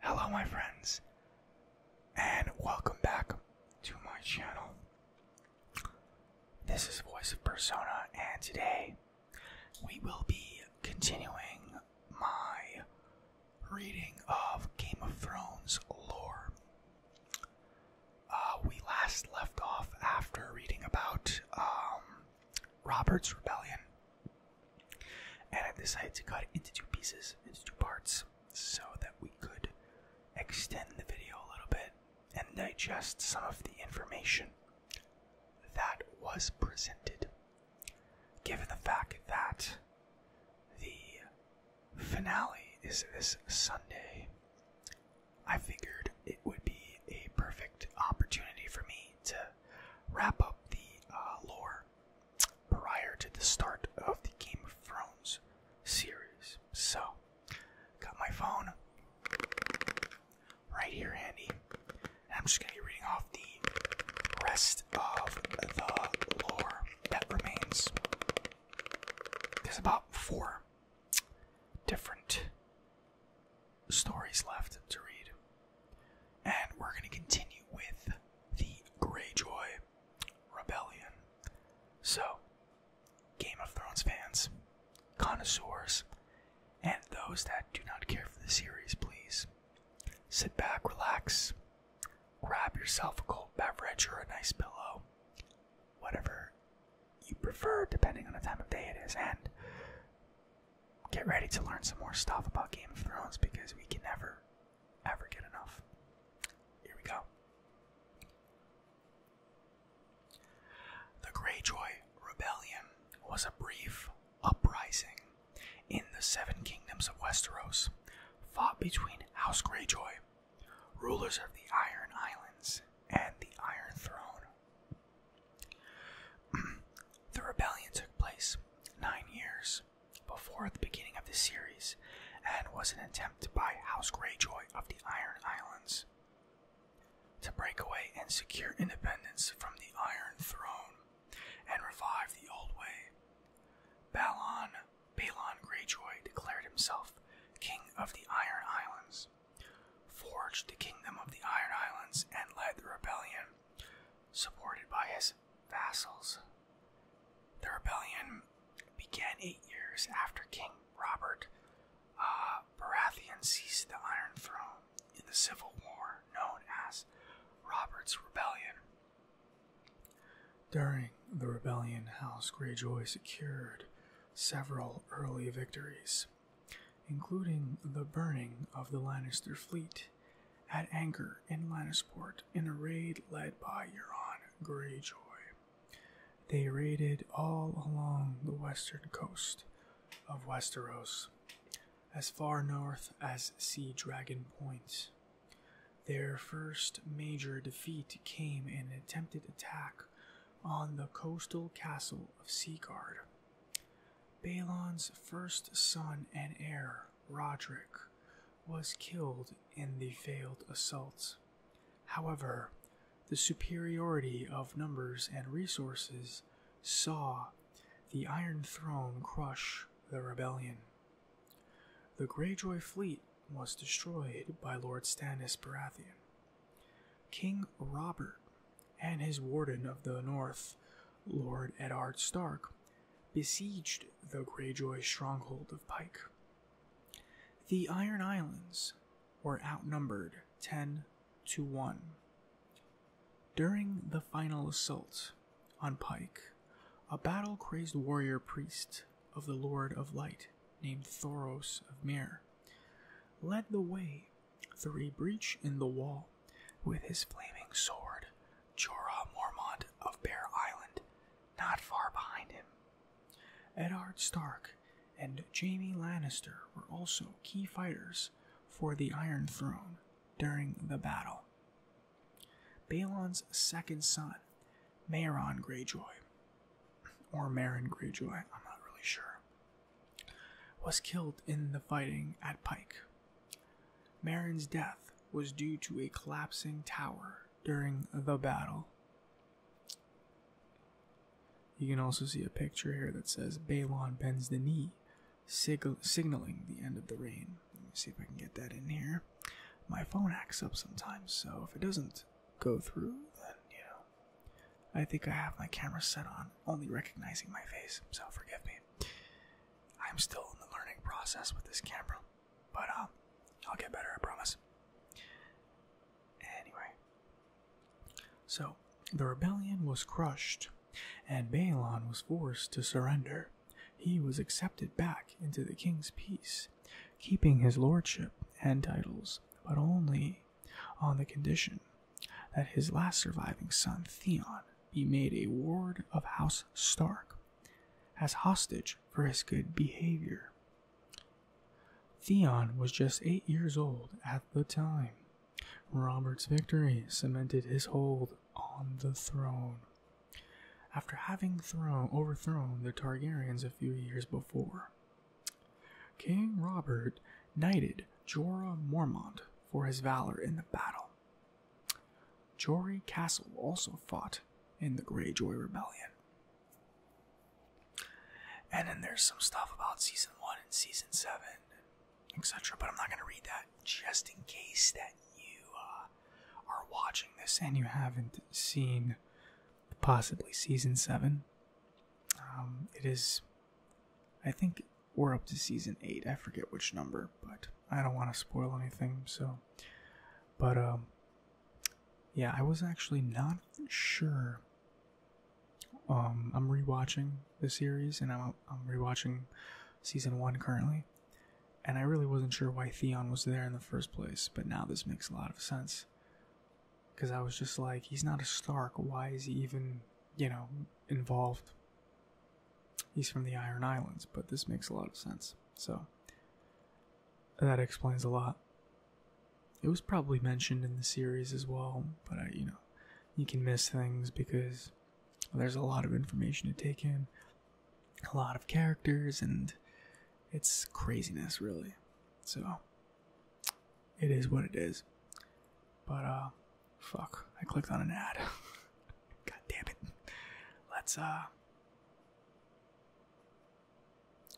Hello, my friends, and welcome back to my channel. This is Voice of Persona, and today we will be continuing my reading of Game of Thrones lore. Uh, we last left off after reading about um, Robert's Rebellion. And I decided to cut it into two pieces, into two parts, so that we could extend the video a little bit and digest some of the information that was presented. Given the fact that the finale is this Sunday, I figured it would be a perfect opportunity for me to wrap up the uh, lore prior to the start of the Game of Thrones series. So, got my phone right here handy. I'm just going to be reading off the rest of the lore that remains. There's about four different stories left to read. And we're going to continue with the Greyjoy Rebellion. So, Game of Thrones fans, connoisseurs, and those that do not care for the series, please sit back, relax, grab yourself a cold beverage or a nice pillow, whatever you prefer, depending on the time of day it is, and get ready to learn some more stuff about Game of Thrones because we can never ever get enough. Here we go. The Greyjoy Rebellion was a brief uprising in the Seven Kingdoms of Westeros, fought between House Greyjoy, rulers of the Iron Islands, and the Iron Throne. the rebellion took place nine years before the beginning of the series and was an attempt by House Greyjoy of the Iron Islands. To break away and secure independence from the Iron Throne and revive the old way, Balon, Balon Greyjoy declared himself King of the Iron Islands, forged the Kingdom of the Iron Islands, and led the rebellion, supported by his vassals. The rebellion began eight years after King Robert uh, Baratheon seized the Iron Throne in the civil war known as Robert's Rebellion. During the rebellion, House Greyjoy secured several early victories, including the burning of the Lannister fleet at anchor in Lannisport in a raid led by Euron Greyjoy. They raided all along the western coast of Westeros, as far north as Sea Dragon Point. Their first major defeat came in an attempted attack on the coastal castle of Seaguard. Balon's first son and heir, Roderick was killed in the failed assault. However, the superiority of numbers and resources saw the Iron Throne crush the rebellion. The Greyjoy fleet was destroyed by Lord Stannis Baratheon. King Robert and his Warden of the North, Lord Edard Stark, besieged the Greyjoy stronghold of Pike. The Iron Islands were outnumbered 10 to 1. During the final assault on Pike, a battle crazed warrior priest of the Lord of Light named Thoros of Mir led the way through a breach in the wall with his flaming sword Jorah Mormont of Bear Island, not far behind him. Edard Stark and Jaime Lannister were also key fighters for the Iron Throne during the battle. Balon's second son, Maeron Greyjoy, or Maron Greyjoy, I'm not really sure, was killed in the fighting at Pike. Marin's death was due to a collapsing tower during the battle. You can also see a picture here that says Balon bends the knee, signaling the end of the reign. Let me see if I can get that in here. My phone acts up sometimes, so if it doesn't go through, then you know. I think I have my camera set on, only recognizing my face, so forgive me. I'm still in the learning process with this camera. But um, I'll get better, I promise. Anyway, so the rebellion was crushed, and Balon was forced to surrender. He was accepted back into the king's peace, keeping his lordship and titles, but only on the condition that his last surviving son Theon be made a ward of House Stark as hostage for his good behavior. Theon was just eight years old at the time. Robert's victory cemented his hold on the throne. After having thrown, overthrown the Targaryens a few years before, King Robert knighted Jorah Mormont for his valor in the battle, Jory Castle also fought in the Greyjoy Rebellion. And then there's some stuff about season one and season seven, etc. But I'm not going to read that just in case that you uh, are watching this and you haven't seen possibly season seven. Um, it is, I think we're up to season eight. I forget which number, but I don't want to spoil anything, so. But, um, yeah, I was actually not sure. Um, I'm rewatching the series, and I'm I'm rewatching season one currently, and I really wasn't sure why Theon was there in the first place. But now this makes a lot of sense, because I was just like, he's not a Stark. Why is he even, you know, involved? He's from the Iron Islands, but this makes a lot of sense. So that explains a lot. It was probably mentioned in the series as well, but I, you know, you can miss things because there's a lot of information to take in, a lot of characters, and it's craziness, really. So it is what it is. But uh fuck, I clicked on an ad. God damn it. Let's uh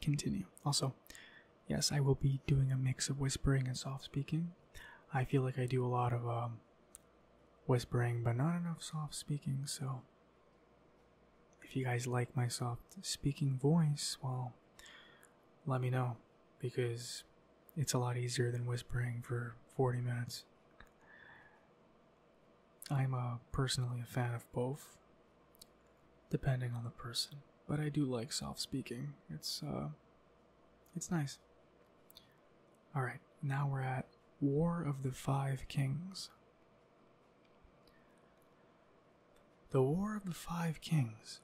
Continue. Also, yes, I will be doing a mix of whispering and soft speaking. I feel like I do a lot of um, whispering, but not enough soft speaking, so if you guys like my soft speaking voice, well, let me know because it's a lot easier than whispering for 40 minutes. I'm uh, personally a fan of both, depending on the person. But I do like soft speaking. It's uh, it's nice. All right, now we're at War of the Five Kings. The War of the Five Kings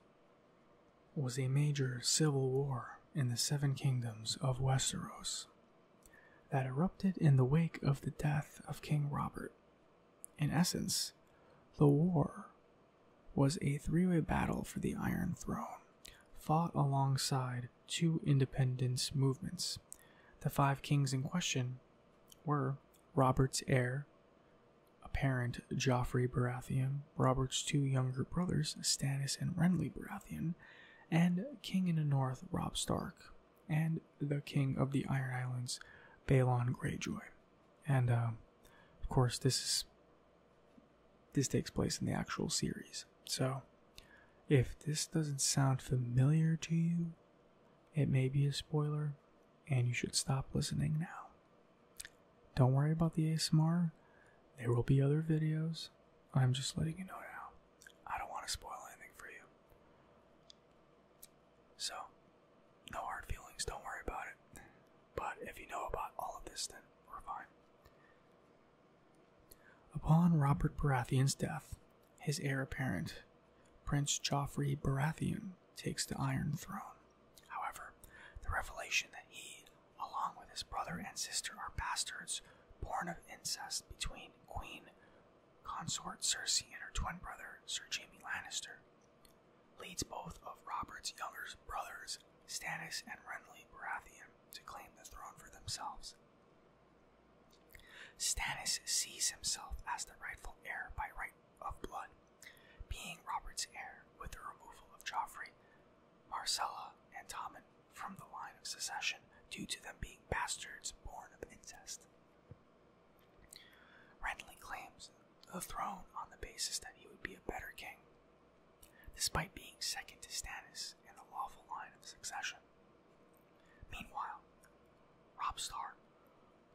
was a major civil war in the Seven Kingdoms of Westeros that erupted in the wake of the death of King Robert. In essence, the war was a three way battle for the Iron Throne, fought alongside two independence movements. The five kings in question were Robert's heir, apparent Joffrey Baratheon, Robert's two younger brothers, Stannis and Renly Baratheon, and King in the North, Rob Stark and the king of the Iron Islands, Balon Greyjoy. And uh, of course, this is this takes place in the actual series. So, if this doesn't sound familiar to you, it may be a spoiler, and you should stop listening now. Don't worry about the ASMR. There will be other videos. I'm just letting you know now. I don't want to spoil anything for you. So, no hard feelings, don't worry about it. But if you know about all of this, then we're fine. Upon Robert Baratheon's death, his heir apparent, Prince Joffrey Baratheon, takes the Iron Throne. However, the revelation that he, along with his brother and sister, are bastards born of incest between Queen Consort Cersei and her twin brother, Sir Jamie Lannister, leads both of Robert's younger brothers, Stannis and Renly Baratheon, to claim the throne for themselves. Stannis sees himself as the rightful heir by right of blood, being Robert's heir with the removal of Joffrey, Marcella, and Tommen from the line of succession due to them being bastards born of incest. Renly claims the throne on the basis that he would be a better king, despite being second to Stannis in the lawful line of succession. Meanwhile, Rob Stark,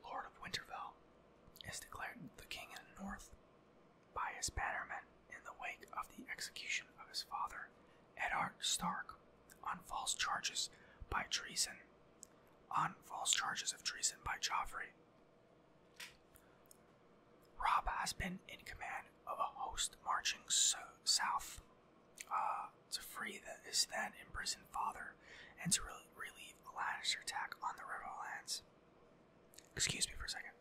Lord of Winterfell, is declared the king in the north by his bannermen in the wake of the execution of his father Edard Stark on false charges by treason, on false charges of treason by Joffrey. Rob has been in command of a host marching south uh, to free his then imprisoned father and to relieve a Lannister attack on the Riverlands. Excuse me for a second.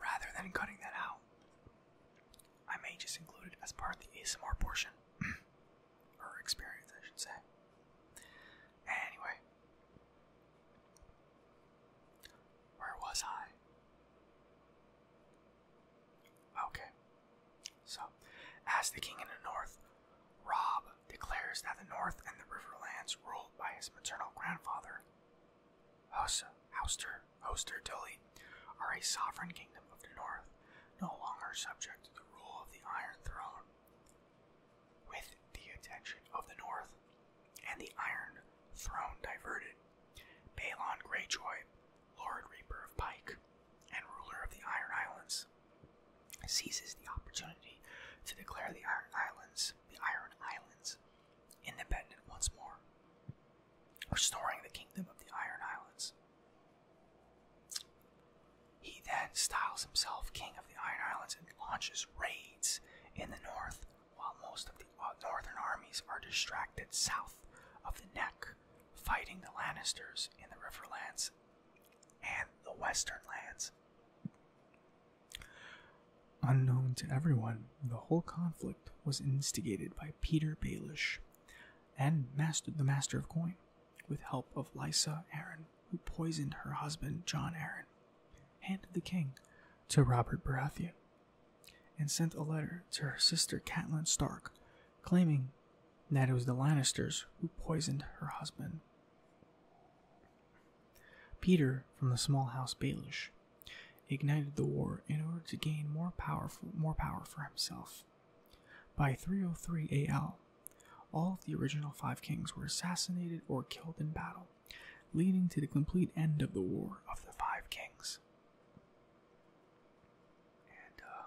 Rather than cutting that out, I may just include it as part of the ASMR portion. or experience, I should say. Anyway. Where was I? Okay. So, as the king in the north, Rob declares that the north and the riverlands ruled by his maternal grandfather, Hosa, Oster Hoster Dully, are a sovereign kingdom of the north, no longer subject to the rule of the Iron Throne. With the attention of the north and the Iron Throne diverted, Balon Greyjoy Lord Reaper of Pike and ruler of the Iron Islands, seizes the opportunity to declare the Iron Islands, the Iron Islands, independent once more, restoring the kingdom of the Iron Islands. He then styles himself King of the Iron Islands and launches raids in the north while most of the uh, northern armies are distracted south of the neck fighting the Lannisters in the Riverlands and the Western Lands. Unknown to everyone, the whole conflict was instigated by Peter Baelish and mastered the Master of Coin with help of Lysa Aaron, who poisoned her husband John Aaron, handed the king to Robert Baratheon, and sent a letter to her sister Catelyn Stark claiming that it was the Lannisters who poisoned her husband. Peter from the small house Baelish ignited the war in order to gain more power, for himself. By 303 AL, all of the original five kings were assassinated or killed in battle, leading to the complete end of the War of the Five Kings. Uh,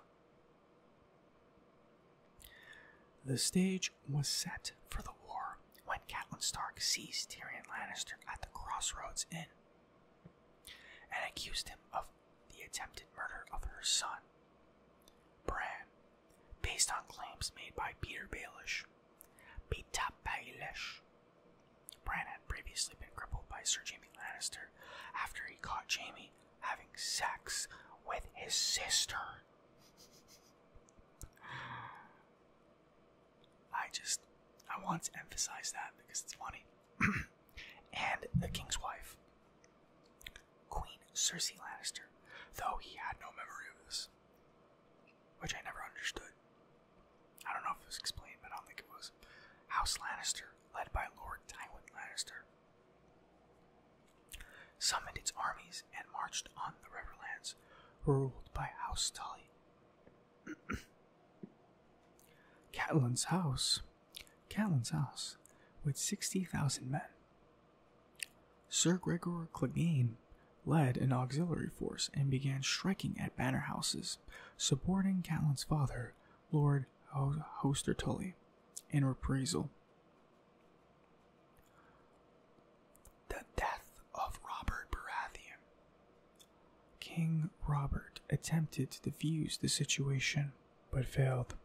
the stage was set for the war when Catelyn Stark seized Tyrion Lannister at the Crossroads Inn and accused him of the attempted murder of her son, Bran, based on claims made by Peter Baelish. Peter Baelish. Bran had previously been crippled by Sir Jamie Lannister after he caught Jamie having sex with his sister. I just I want to emphasize that because it's funny. and the king's wife, Queen Cersei Lannister, though he had no memory of this, which I never understood. I don't know if it was explained, but I don't think it was. House Lannister, led by Lord Tywin Lannister, summoned its armies, and marched on the riverlands ruled by House Tully. Catalan's house, Catalan's house, with sixty thousand men. Sir Gregor Clegane led an auxiliary force and began striking at banner houses, supporting Catalan's father, Lord Hoster Tully, in reprisal. The death of Robert Baratheon. King Robert attempted to defuse the situation but failed,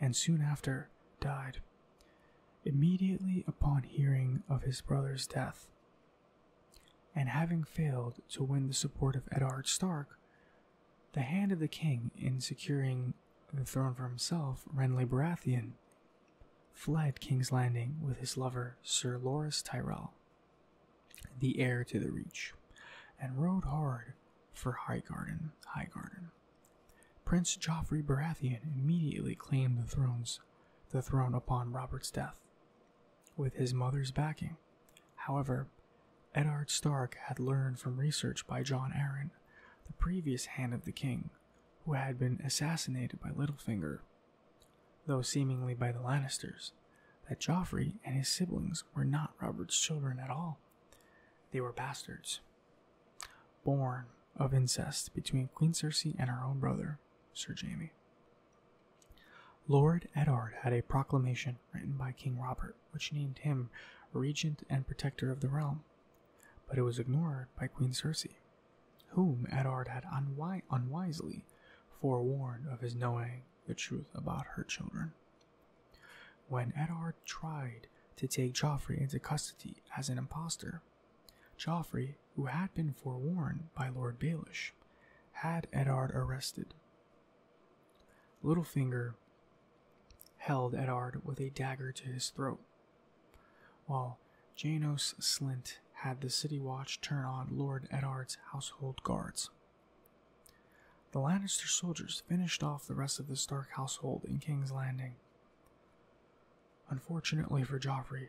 and soon after died. Immediately upon hearing of his brother's death, and having failed to win the support of Edard Stark, the hand of the king in securing the throne for himself, Renly Baratheon, fled King's Landing with his lover Sir Loris Tyrell, the heir to the Reach, and rode hard for Highgarden. Highgarden. Prince Joffrey Baratheon immediately claimed the thrones, the throne upon Robert's death, with his mother's backing. However, Edard Stark had learned from research by John Arryn, the previous Hand of the King, who had been assassinated by Littlefinger, though seemingly by the Lannisters, that Joffrey and his siblings were not Robert's children at all. They were bastards, born of incest between Queen Cersei and her own brother, Sir Jamie. Lord Edard had a proclamation written by King Robert which named him regent and protector of the realm. But it was ignored by Queen Circe, whom Edard had unwisely forewarned of his knowing the truth about her children. When Edard tried to take Joffrey into custody as an impostor, Joffrey, who had been forewarned by Lord Baelish, had Edard arrested Littlefinger held Edard with a dagger to his throat, while Janos Slint had the city watch turn on Lord Edard's household guards. The Lannister soldiers finished off the rest of the Stark household in King's Landing. Unfortunately for Joffrey,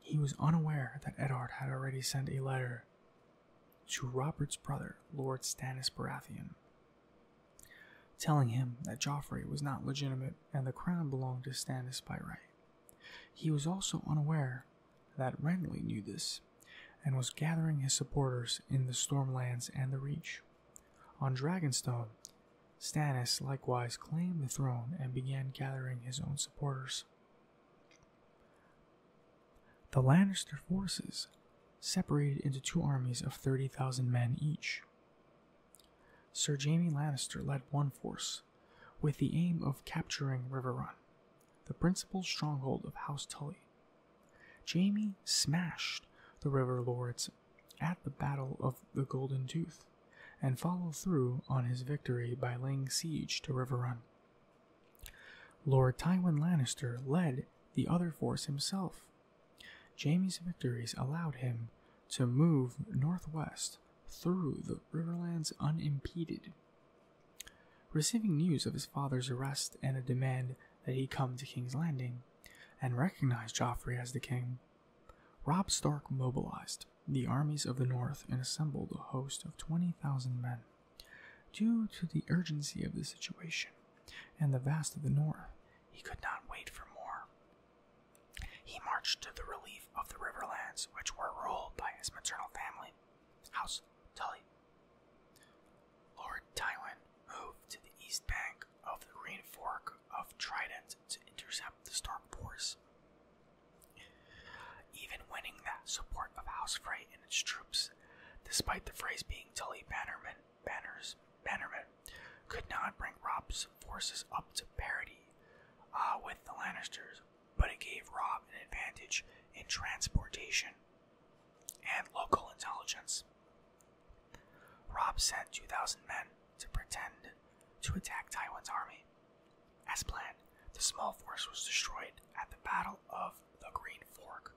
he was unaware that Edard had already sent a letter to Robert's brother, Lord Stannis Baratheon, telling him that Joffrey was not legitimate and the crown belonged to Stannis by right. He was also unaware that Renly knew this and was gathering his supporters in the Stormlands and the Reach. On Dragonstone, Stannis likewise claimed the throne and began gathering his own supporters. The Lannister forces separated into two armies of 30,000 men each. Sir Jamie Lannister led one force, with the aim of capturing River Run, the principal stronghold of House Tully. Jamie smashed the River Lords at the Battle of the Golden Tooth and followed through on his victory by laying siege to River Run. Lord Tywin Lannister led the other force himself Jamie's victories allowed him to move northwest through the Riverlands unimpeded. Receiving news of his father's arrest and a demand that he come to King's Landing and recognize Joffrey as the king, Rob Stark mobilized the armies of the north and assembled a host of 20,000 men. Due to the urgency of the situation, and the vast of the north. He could not wait for more. He marched to the relief of the riverlands, which were ruled by his maternal family, House Tully. Lord Tywin moved to the east bank of the Green Fork of Trident to intercept the Stark force. Even winning the support of House Frey and its troops, despite the phrase being Tully bannermen, Banners, Bannerman could not bring Rob's forces up to parity uh, with the Lannisters, but it gave Rob an advantage in transportation and local intelligence. Rob sent 2,000 men to pretend to attack Taiwan's army. As planned, the small force was destroyed at the Battle of the Green Fork,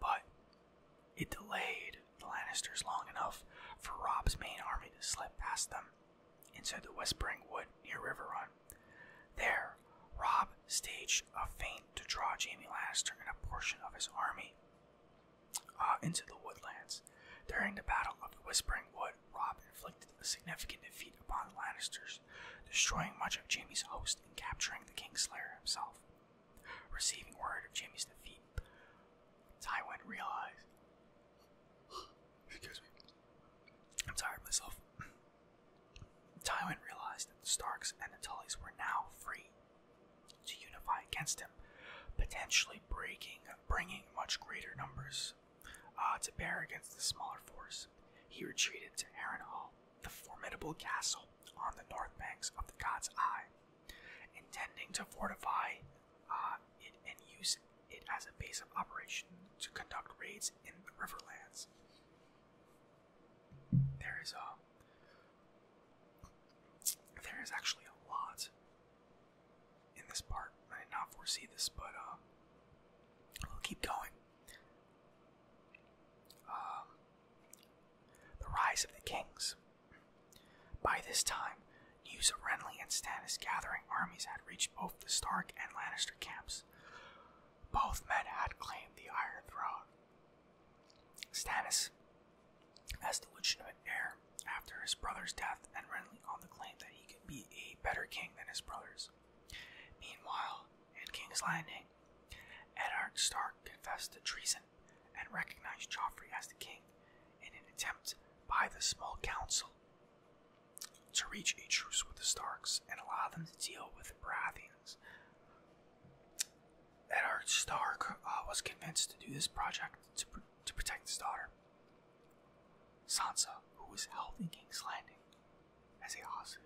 but it delayed the Lannisters long enough for Rob's main army to slip past them into the Whispering Wood near River Run. There, Rob staged a feint to draw Jamie Lannister and a portion of his army uh, into the woodlands. During the Battle of the Whispering Wood, Rob inflicted a significant defeat upon the Lannisters, destroying much of Jamie's host and capturing the Kingslayer himself. Receiving word of Jimmy's defeat, Tywin realized. Excuse me. I'm tired myself. Tywin realized that the Starks and the Tullys were now free to unify against him, potentially breaking, bringing much greater numbers uh, to bear against the smaller force. He retreated to Hall, the formidable castle on the north banks of the God's Eye, intending to fortify uh, it and use it as a base of operation to conduct raids in the riverlands. There is a there is actually a lot in this part. I did not foresee this, but uh, we'll keep going. Um, the rise of the kings. By this time, news of Renly and Stannis gathering armies had reached both the Stark and Lannister camps. Both men had claimed the Iron Throne. Stannis, as the legitimate heir after his brother's death, and Renly on the claim that he could be a better king than his brothers. Meanwhile, in King's Landing, Edard Stark confessed to treason and recognized Joffrey as the king in an attempt by the small council to reach a truce with the Starks and allow them to deal with the Baratheons. Edard Stark uh, was convinced to do this project to, to protect his daughter, Sansa, who was held in King's Landing as a hostage.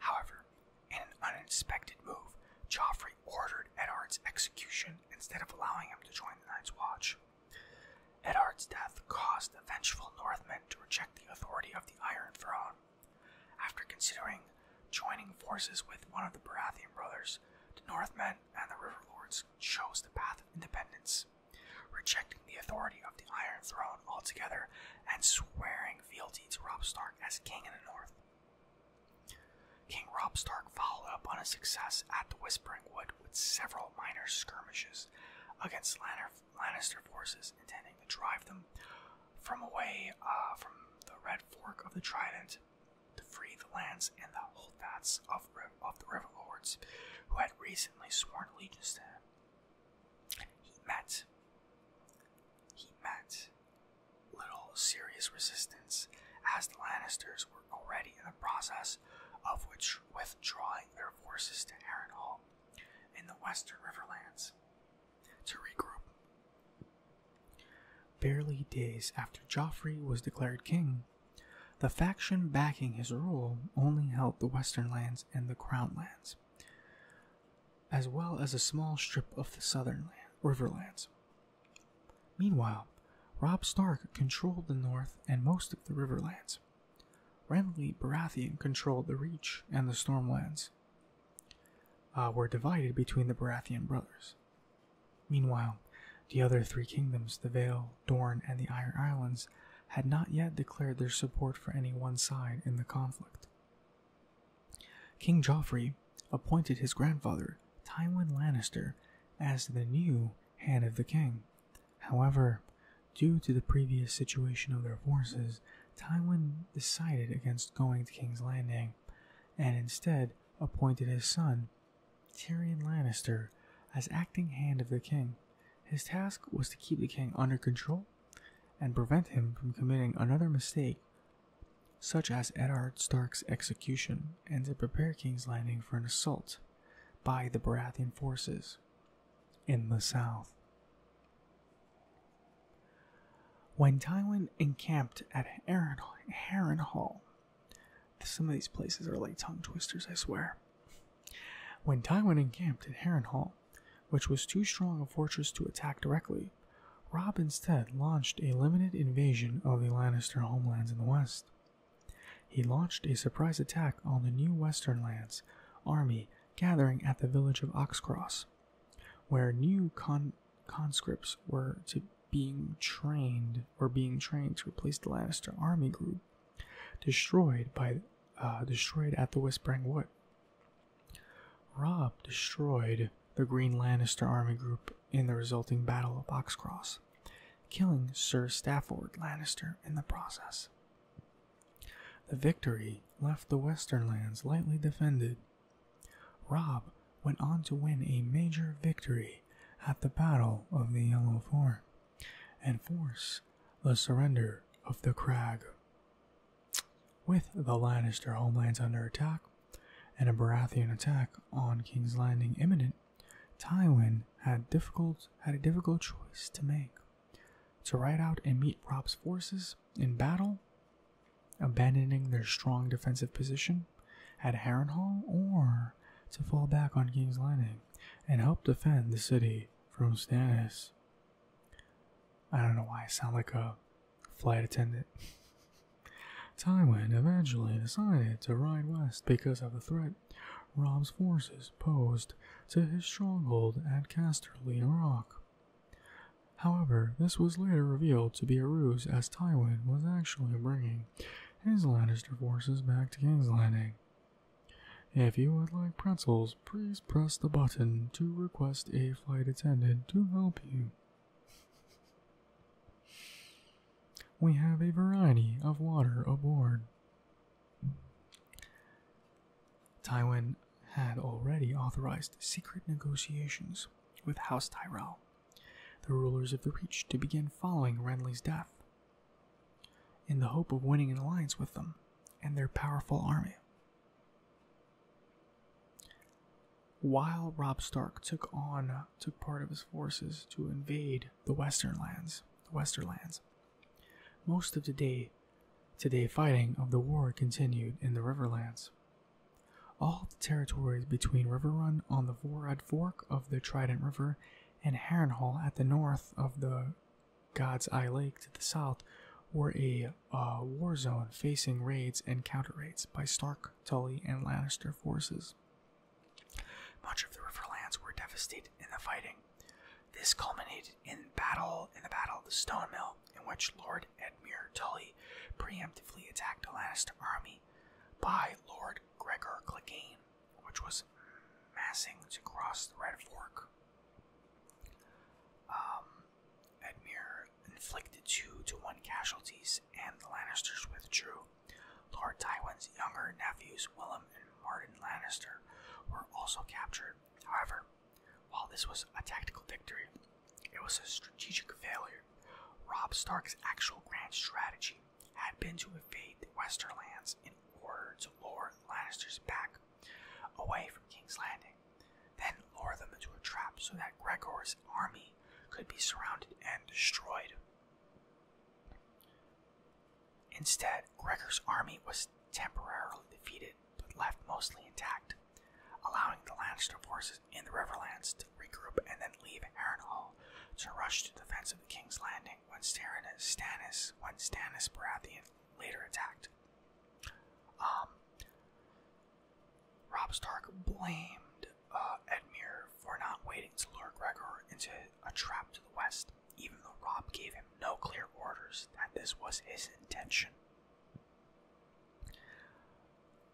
However, in an unexpected move, Joffrey ordered Edard's execution instead of allowing him to join the Knights Watch. Edard's death caused the vengeful Northmen to reject the authority of the Iron Throne. After considering joining forces with one of the Baratheon brothers, the Northmen and the Riverlords chose the path of independence, rejecting the authority of the Iron Throne altogether and swearing fealty to Rob Stark as king in the North. King Rob Stark followed up on his success at the Whispering Wood with several minor skirmishes against Lannister forces, intending to drive them from away uh, from the Red Fork of the Trident to free the lands and the holdfasts of, the river lords who had recently sworn allegiance to him. He met, he met little serious resistance as the Lannisters were already in the process of withdrawing their forces to Harrenhal in the western riverlands to regroup. Barely days after Joffrey was declared king, the faction backing his rule only held the western lands and the crown lands, as well as a small strip of the southern riverlands. Meanwhile, Rob Stark controlled the north and most of the riverlands. Renly Baratheon controlled the Reach and the Stormlands. Uh, were divided between the Baratheon brothers. Meanwhile, the other three kingdoms, the Vale, Dorne, and the Iron Islands, had not yet declared their support for any one side in the conflict. King Joffrey appointed his grandfather, Tywin Lannister, as the new Hand of the King. However, due to the previous situation of their forces, Tywin decided against going to King's Landing and instead appointed his son, Tyrion Lannister as acting hand of the king. His task was to keep the king under control and prevent him from committing another mistake, such as Eddard Stark's execution, and to prepare King's Landing for an assault by the Baratheon forces in the south. When Tywin encamped at Harrenhal some of these places are like tongue twisters, I swear. When Tywin encamped at Harrenhal, which was too strong a fortress to attack directly, Rob instead launched a limited invasion of the Lannister homelands in the west. He launched a surprise attack on the new Western lands army gathering at the village of Oxcross, where new con conscripts were to being trained or being trained to replace the Lannister army group destroyed by uh, destroyed at the Whispering Wood. Rob destroyed the Green Lannister army group in the resulting Battle of Boxcross, killing Sir Stafford Lannister in the process. The victory left the Western lands lightly defended Rob went on to win a major victory at the Battle of the Yellow Form and force the surrender of the Crag. With the Lannister homelands under attack and a Baratheon attack on King's Landing imminent, Tywin had difficult had a difficult choice to make: to ride out and meet Rob's forces in battle, abandoning their strong defensive position, at Harrenhal or to fall back on King's Landing and help defend the city from Stannis. I don't know why I sound like a flight attendant. Tywin eventually decided to ride west because of the threat Rob's forces posed to his stronghold at Casterly Rock. However, this was later revealed to be a ruse as Tywin was actually bringing his Lannister forces back to King's Landing. If you would like pretzels, please press the button to request a flight attendant to help you. We have a variety of water aboard. Tywin had already authorized secret negotiations with House Tyrell the rulers of the Reach to begin following Renly's death, in the hope of winning an alliance with them and their powerful army. While Robb Stark took on took part of his forces to invade the Western lands, the Western Lands. most of the day to fighting of the war continued in the Riverlands. All the territories between River Run on the Vorad Fork of the Trident River and Harrenhal at the north of the God's Eye Lake to the south were a uh, war zone facing raids and counter raids by Stark, Tully, and Lannister forces. Much of the Riverlands were devastated in the fighting. This culminated in battle in the Battle of the Stone Mill, in which Lord Edmure Tully preemptively attacked a Lannister army by Lord Gregor Clegane, which was massing to cross the Red Fork. Um, Edmure inflicted two to one casualties, and the Lannisters withdrew. Lord Tywin's younger nephews, Willem and Martin Lannister, were also captured. However, while this was a tactical victory, it was a strategic failure. Rob Stark's actual grand strategy had been to invade the Westerlands in order to lure Lannisters back away from King's Landing, then lure them into a trap so that Gregor's army could be surrounded and destroyed. Instead, Gregor's army was temporarily defeated but left mostly intact, allowing the Lannister forces in the Riverlands to regroup, and then leave Harrenhal to rush to defense of the King's Landing when Stannis, Baratheon later attacked. Um, Rob Stark blamed uh, Edmure for not waiting to lure Gregor into a trap to the west, even though Rob gave him no clear orders that this was his intention.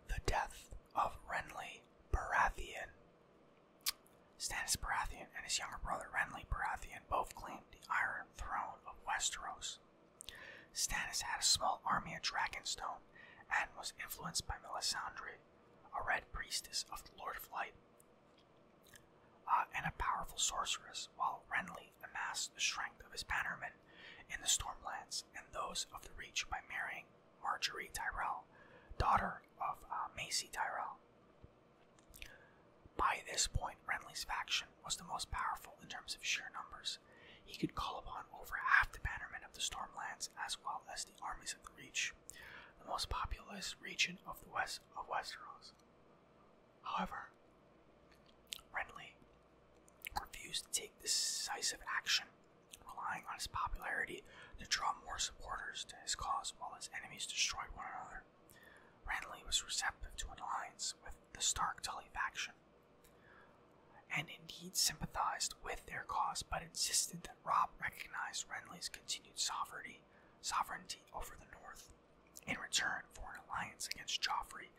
The death of Renly Baratheon Stannis Baratheon and his younger brother Renly Baratheon both claimed the Iron Throne of Westeros. Stannis had a small army at Dragonstone and was influenced by Melisandre, a red priestess of the Lord of Light, uh, and a powerful sorceress, while Renly amassed the strength of his bannermen in the Stormlands and those of the Reach by marrying Marjorie Tyrell, daughter of uh, Macy Tyrell. By this point, Renly's faction was the most powerful in terms of sheer numbers. He could call upon over half the bannermen of the Stormlands as well as the armies of the Reach, the most populous region of the west of Westeros. However, Renly refused to take decisive action Relying on his popularity to draw more supporters to his cause while his enemies destroyed one another, Renly was receptive to an alliance with the Stark Tully faction, and indeed sympathized with their cause, but insisted that Rob recognized Renly's continued sovereignty, sovereignty over the North, in return for an alliance against Joffrey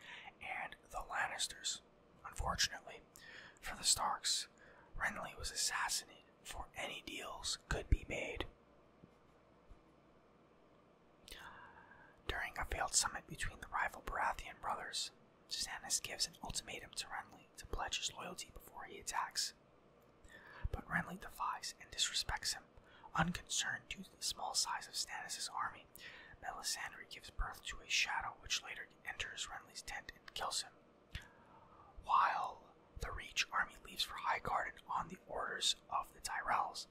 and the Lannisters. Unfortunately, for the Starks, Renly was assassinated for any deals could be made. During a failed summit between the rival Baratheon brothers, Stannis gives an ultimatum to Renly to pledge his loyalty before he attacks. But Renly defies and disrespects him. Unconcerned due to the small size of Stannis's army, Melisandre gives birth to a shadow which later enters Renly's tent and kills him. While the Reach army leaves for Highgarden on the orders of the Tyrells,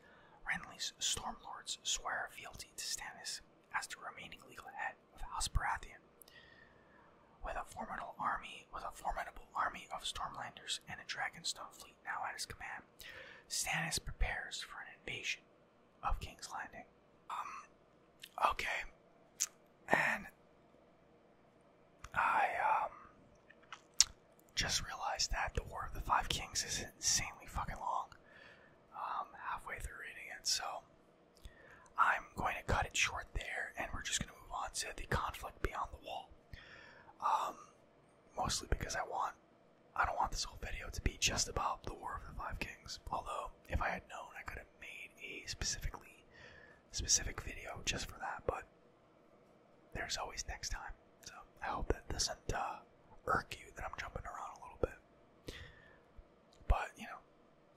Renly's Stormlords swear fealty to Stannis as the remaining legal head of House Baratheon. With a formidable army, with a formidable army of Stormlanders and a Dragonstone fleet now at his command, Stannis prepares for an invasion of King's Landing. Um, Okay. And I um just realized that the War of the Five Kings is insanely fucking long. Um, halfway through reading it, so I'm going to cut it short there, and we're just going to move on to the conflict beyond the wall. Um, mostly because I want, I don't want this whole video to be just about the War of the Five Kings. Although, if I had known, I could have made a specifically specific video just for that, but there's always next time. So I hope that doesn't uh, irk you that I'm jumping around a little bit. But, you know,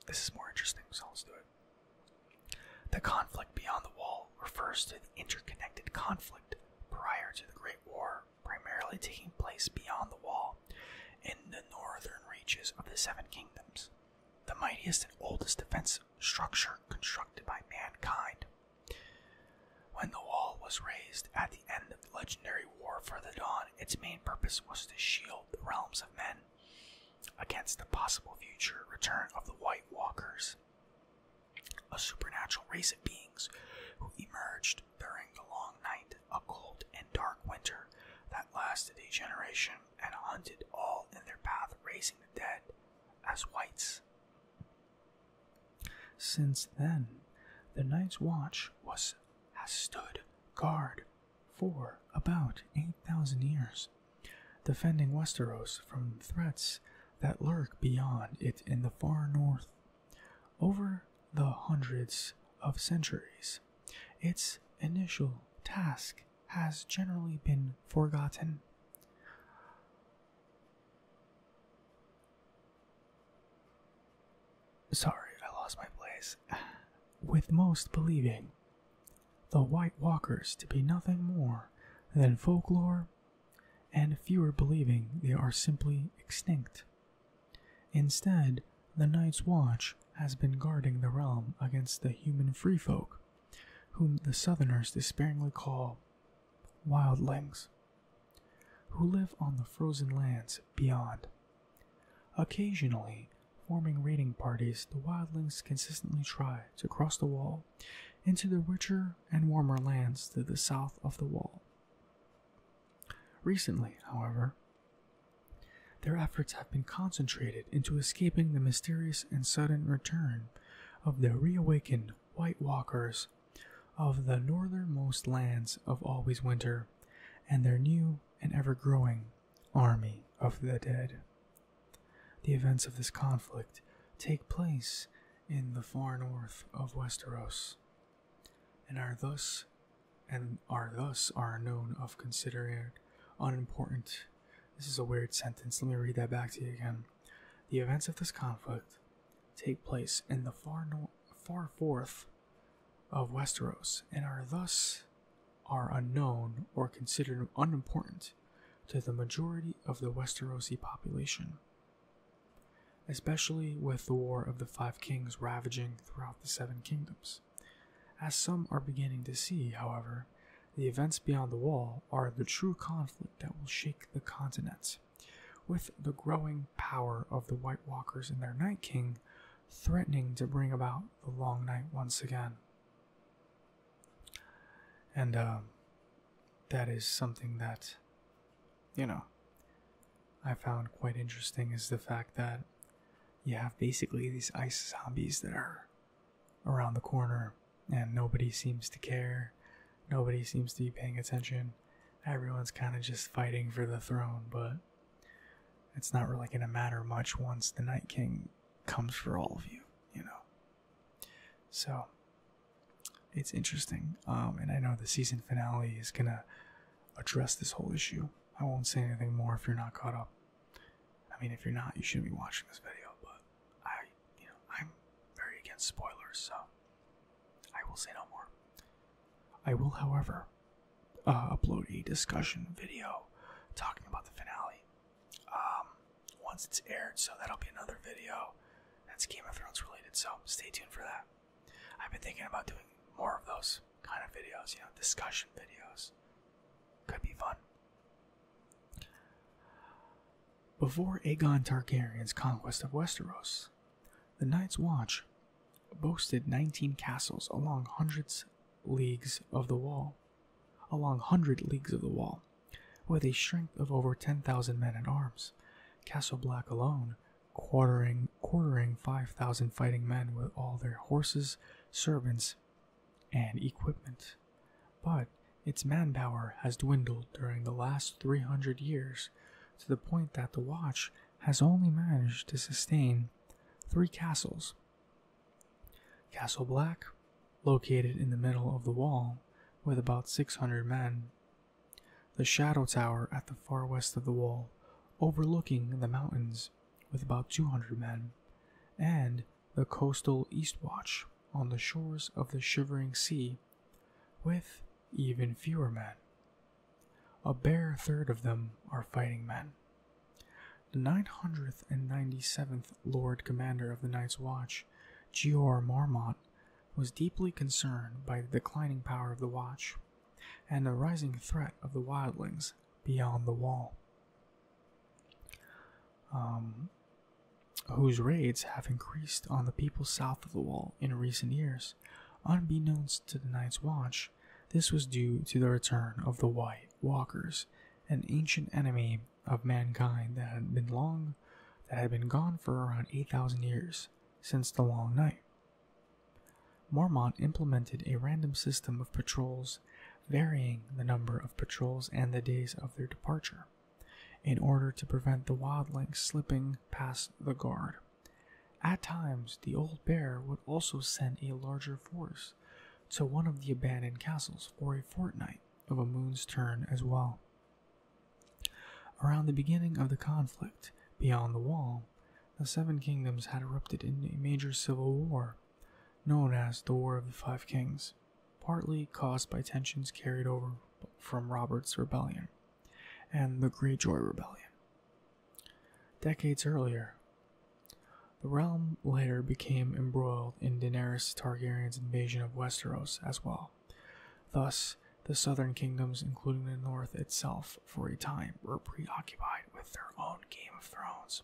this is more interesting, so let's do it. The conflict beyond the wall refers to the interconnected conflict prior to the Great War, primarily taking place beyond the wall in the northern reaches of the Seven Kingdoms the mightiest and oldest defensive structure constructed by mankind. When the wall was raised at the end of the legendary War for the Dawn, its main purpose was to shield the realms of men against the possible future return of the White Walkers, a supernatural race of beings who emerged during the long night, a cold and dark winter that lasted a generation and hunted all in their path, raising the dead as whites. Since then, the Night's Watch has stood guard for about 8,000 years, defending Westeros from threats that lurk beyond it in the far north. Over the hundreds of centuries, its initial task has generally been forgotten. Sorry, I lost my place. With most believing the White Walkers to be nothing more than folklore, and fewer believing they are simply extinct. Instead, the Night's Watch has been guarding the realm against the human free folk whom the Southerners despairingly call wildlings, who live on the frozen lands beyond. Occasionally, forming raiding parties, the wildlings consistently try to cross the wall into the richer and warmer lands to the south of the wall. Recently, however, their efforts have been concentrated into escaping the mysterious and sudden return of the reawakened White Walkers of the northernmost lands of always winter and their new and ever growing army of the dead. The events of this conflict take place in the far north of Westeros and are thus and are thus are known of considered unimportant this is a weird sentence. Let me read that back to you again. The events of this conflict take place in the far north, far forth of Westeros and are thus are unknown or considered unimportant to the majority of the Westerosi population, especially with the War of the Five Kings ravaging throughout the Seven Kingdoms. As some are beginning to see, however, the events beyond the wall are the true conflict that will shake the continents, With the growing power of the White Walkers and their Night King threatening to bring about the Long Night once again. And uh, that is something that, you know, I found quite interesting is the fact that you have basically these ice zombies that are around the corner and nobody seems to care. Nobody seems to be paying attention. Everyone's kind of just fighting for the throne, but it's not really going to matter much once the Night King comes for all of you, you know. So it's interesting. Um, and I know the season finale is going to address this whole issue. I won't say anything more if you're not caught up. I mean, if you're not, you shouldn't be watching this video, but I, you know, I'm very against spoilers, so I will say no more. I will, however, uh, upload a discussion video talking about the finale um, once it's aired, so that'll be another video that's Game of Thrones related, so stay tuned for that. I've been thinking about doing more of those kind of videos, you know, discussion videos. Could be fun. Before Aegon Targaryen's conquest of Westeros, the Night's Watch boasted 19 castles along hundreds leagues of the wall, along 100 leagues of the wall, with a strength of over 10,000 men at arms. Castle Black alone quartering quartering 5,000 fighting men with all their horses, servants, and equipment, but its manpower has dwindled during the last 300 years to the point that the watch has only managed to sustain three castles Castle Black, located in the middle of the wall with about 600 men, the Shadow Tower at the far west of the wall, overlooking the mountains with about 200 men, and the coastal Eastwatch on the shores of the shivering sea with even fewer men. A bare third of them are fighting men. The 997th Lord Commander of the Night's Watch, Jor Marmont, was deeply concerned by the declining power of the Watch and the rising threat of the wildlings beyond the wall. Um, whose raids have increased on the people south of the wall in recent years. Unbeknownst to the Night's Watch, this was due to the return of the White Walkers, an ancient enemy of mankind that had been long that had been gone for around 8,000 years since the Long Night. Mormont implemented a random system of patrols varying the number of patrols and the days of their departure, in order to prevent the wildlings slipping past the guard. At times, the old bear would also send a larger force to one of the abandoned castles for a fortnight of a moon's turn as well. Around the beginning of the conflict, beyond the wall, the Seven Kingdoms had erupted in a major civil war known as the War of the Five Kings, partly caused by tensions carried over from Robert's Rebellion and the Great Joy Rebellion. Decades earlier, the realm later became embroiled in Daenerys Targaryen's invasion of Westeros as well. Thus, the southern kingdoms, including the north itself, for a time were preoccupied with their own Game of Thrones.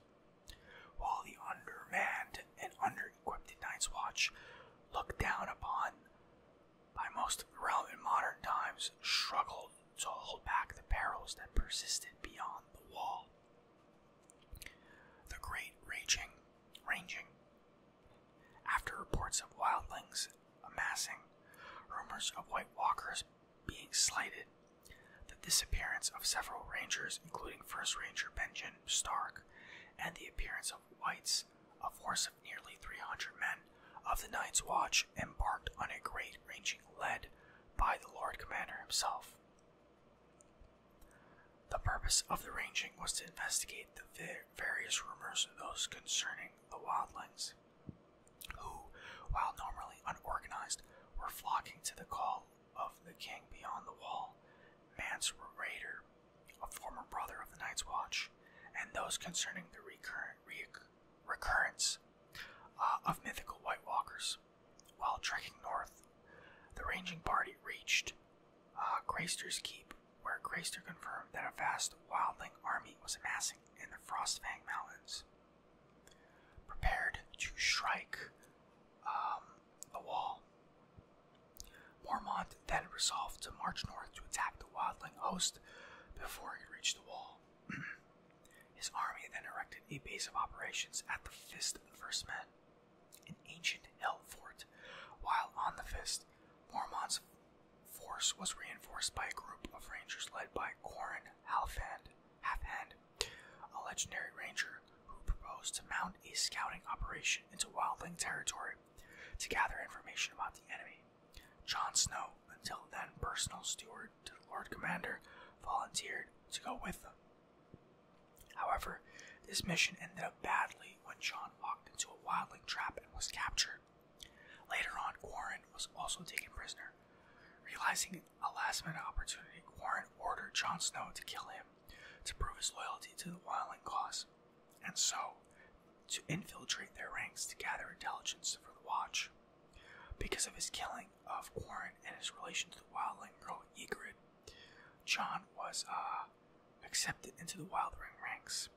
While the undermanned and under-equipped Night's Watch, looked down upon by most of the realm in modern times, struggled to hold back the perils that persisted beyond the wall. The great raging, ranging. After reports of wildlings amassing, rumors of White Walkers being slighted, the disappearance of several rangers, including First Ranger Benjamin Stark and the appearance of whites, a force of nearly 300 men of the Night's Watch embarked on a great ranging led by the Lord Commander himself. The purpose of the ranging was to investigate the various rumors of those concerning the wildlings, who, while normally unorganized, were flocking to the call of the king beyond the wall, Mance Raider, a former brother of the Night's Watch, and those concerning the recurrent recurrence uh, of mythical White Walkers. While trekking north, the ranging party reached uh, Keep, where Grayster confirmed that a vast wildling army was amassing in the Frostfang Mountains. Prepared to strike, um, the wall. Mormont then resolved to march north to attack the wildling host before he could reach the wall. His army then erected a base of operations at the Fist of the First Men, an ancient hill fort. While on the Fist, Mormont's force was reinforced by a group of rangers led by Corin Halfhand, Halfhand, a legendary ranger who proposed to mount a scouting operation into wildling territory to gather information about the enemy. John Snow, until then personal steward to the Lord Commander, volunteered to go with them. However, this mission ended up badly when John walked into a wildling trap and was captured. Later on, Warren was also taken prisoner. Realizing a last minute opportunity, Warren ordered Jon Snow to kill him to prove his loyalty to the wildling cause, and so to infiltrate their ranks to gather intelligence for the Watch. Because of his killing of Warren and his relation to the wildling girl Egrid, John was uh, accepted into the wildling ranks.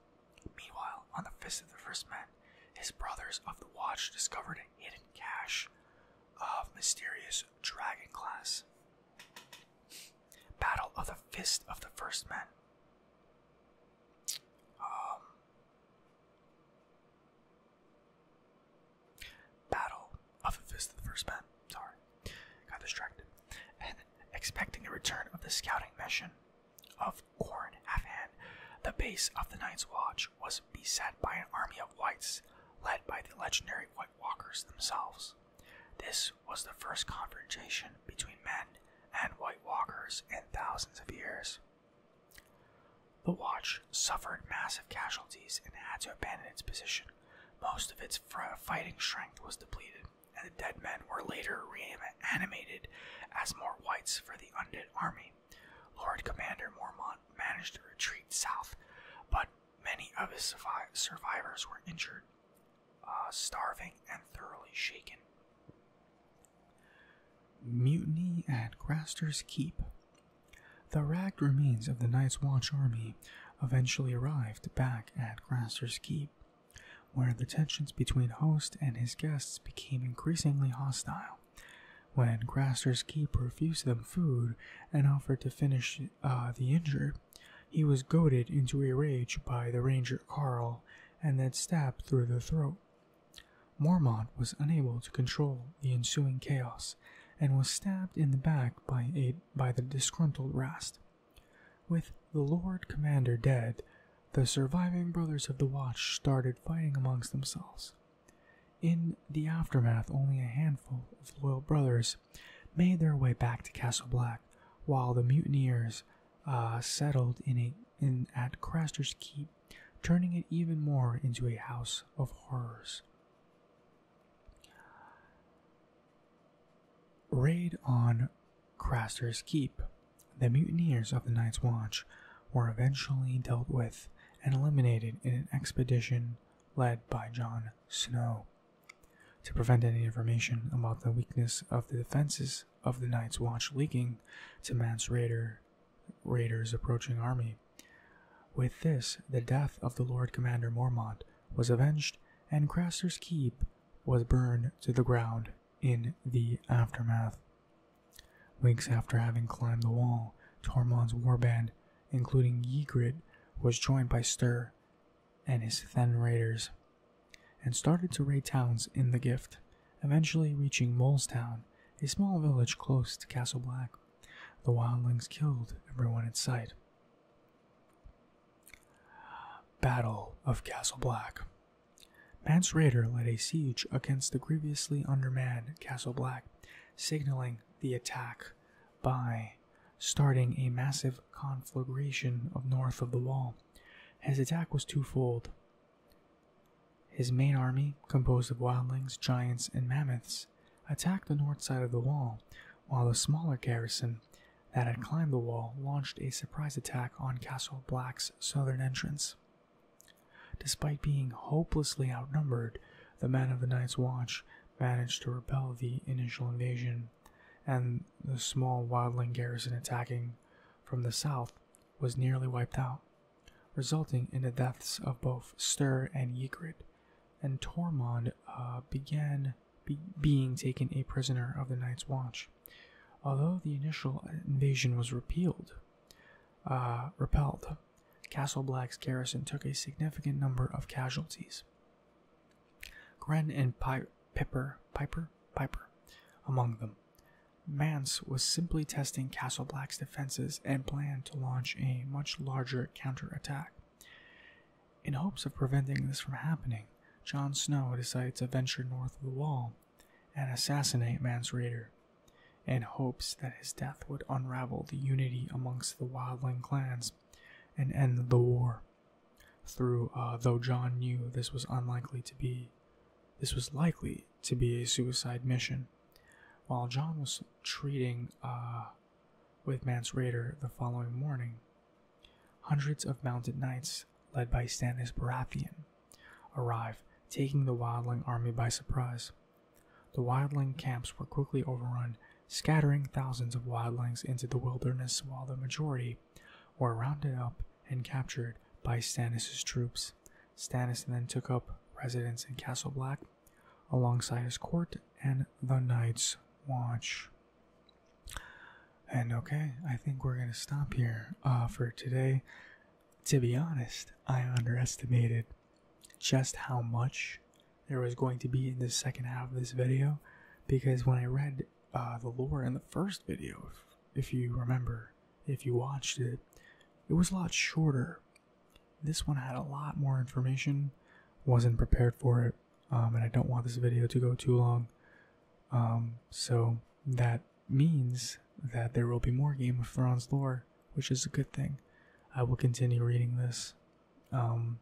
Meanwhile, on the Fist of the First Men, his brothers of the Watch discovered a hidden cache of mysterious dragon glass. Battle of the Fist of the First Man. Um, Battle of the Fist of the First Men. Sorry, got distracted. And expecting the return of the scouting mission of Corn Afan, the base of the Night's Watch was beset by an army of whites led by the legendary White Walkers themselves. This was the first confrontation between men and White Walkers in thousands of years. The Watch suffered massive casualties and had to abandon its position. Most of its fighting strength was depleted, and the dead men were later reanimated as more whites for the undead army. Lord Commander Mormont managed to retreat south, but many of his survivors were injured uh, starving and thoroughly shaken. Mutiny at Graster's Keep. The ragged remains of the Night's Watch army eventually arrived back at Graster's Keep, where the tensions between host and his guests became increasingly hostile. When Graster's Keep refused them food and offered to finish uh, the injured, he was goaded into a rage by the ranger Carl and then stabbed through the throat. Mormont was unable to control the ensuing chaos and was stabbed in the back by, a, by the disgruntled Rast. With the Lord Commander dead, the surviving brothers of the Watch started fighting amongst themselves. In the aftermath, only a handful of loyal brothers made their way back to Castle Black, while the mutineers uh, settled in in at Craster's Keep, turning it even more into a house of horrors. Raid on Craster's Keep. The mutineers of the Night's Watch were eventually dealt with and eliminated in an expedition led by John Snow. To prevent any information about the weakness of the defenses of the Night's Watch leaking to Man's raider, raiders' approaching army. With this, the death of the Lord Commander Mormont was avenged, and Craster's Keep was burned to the ground in the aftermath. Weeks after having climbed the wall, Tormund's warband, including Ygritte, was joined by Stir and his Then Raiders, and started to raid towns in the gift, eventually reaching Moles Town, a small village close to Castle Black. The wildlings killed everyone in sight. Battle of Castle Black. Mance Raider led a siege against the grievously undermanned Castle Black, signaling the attack by starting a massive conflagration of north of the wall. His attack was twofold. His main army, composed of wildlings, giants, and mammoths, attacked the north side of the wall, while the smaller garrison that had climbed the wall launched a surprise attack on Castle Black's southern entrance. Despite being hopelessly outnumbered, the men of the Night's Watch managed to repel the initial invasion, and the small wildling garrison attacking from the south was nearly wiped out, resulting in the deaths of both Stir and Ygritte, and Tormund uh, began being taken a prisoner of the Night's Watch. Although the initial invasion was repealed, uh, repelled, Castle Black's garrison took a significant number of casualties. Gren and Py Piper, Piper, Piper among them. Mance was simply testing Castle Black's defenses and planned to launch a much larger counterattack. In hopes of preventing this from happening, Jon Snow decides to venture north of the wall and assassinate Mance Raider, in hopes that his death would unravel the unity amongst the wildling clans and end the war. Through uh, though John knew this was unlikely to be, this was likely to be a suicide mission. While John was treating uh, with Mance Raider the following morning, hundreds of mounted knights, led by Stannis Baratheon, arrived, taking the Wildling army by surprise. The Wildling camps were quickly overrun, scattering thousands of Wildlings into the wilderness while the majority were rounded up and captured by Stanis's troops. Stanis then took up residence in Castle Black alongside his court and the Night's Watch. And okay, I think we're going to stop here uh, for today. To be honest, I underestimated just how much there was going to be in the second half of this video because when I read the lore in the first video, if, if you remember, if you watched it, it was a lot shorter. This one had a lot more information, wasn't prepared for it, um, and I don't want this video to go too long. Um, so that means that there will be more Game of Thrones lore, which is a good thing. I will continue reading this. Um,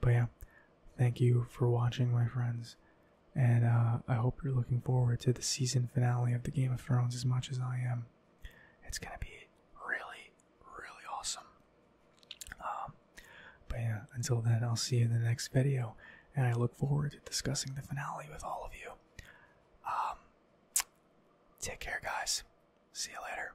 but yeah, thank you for watching, my friends, and uh, I hope you're looking forward to the season finale of the Game of Thrones as much as I am. It's gonna be really, really awesome. Um, but yeah, until then, I'll see you in the next video, and I look forward to discussing the finale with all of you. Um, take care, guys. See you later.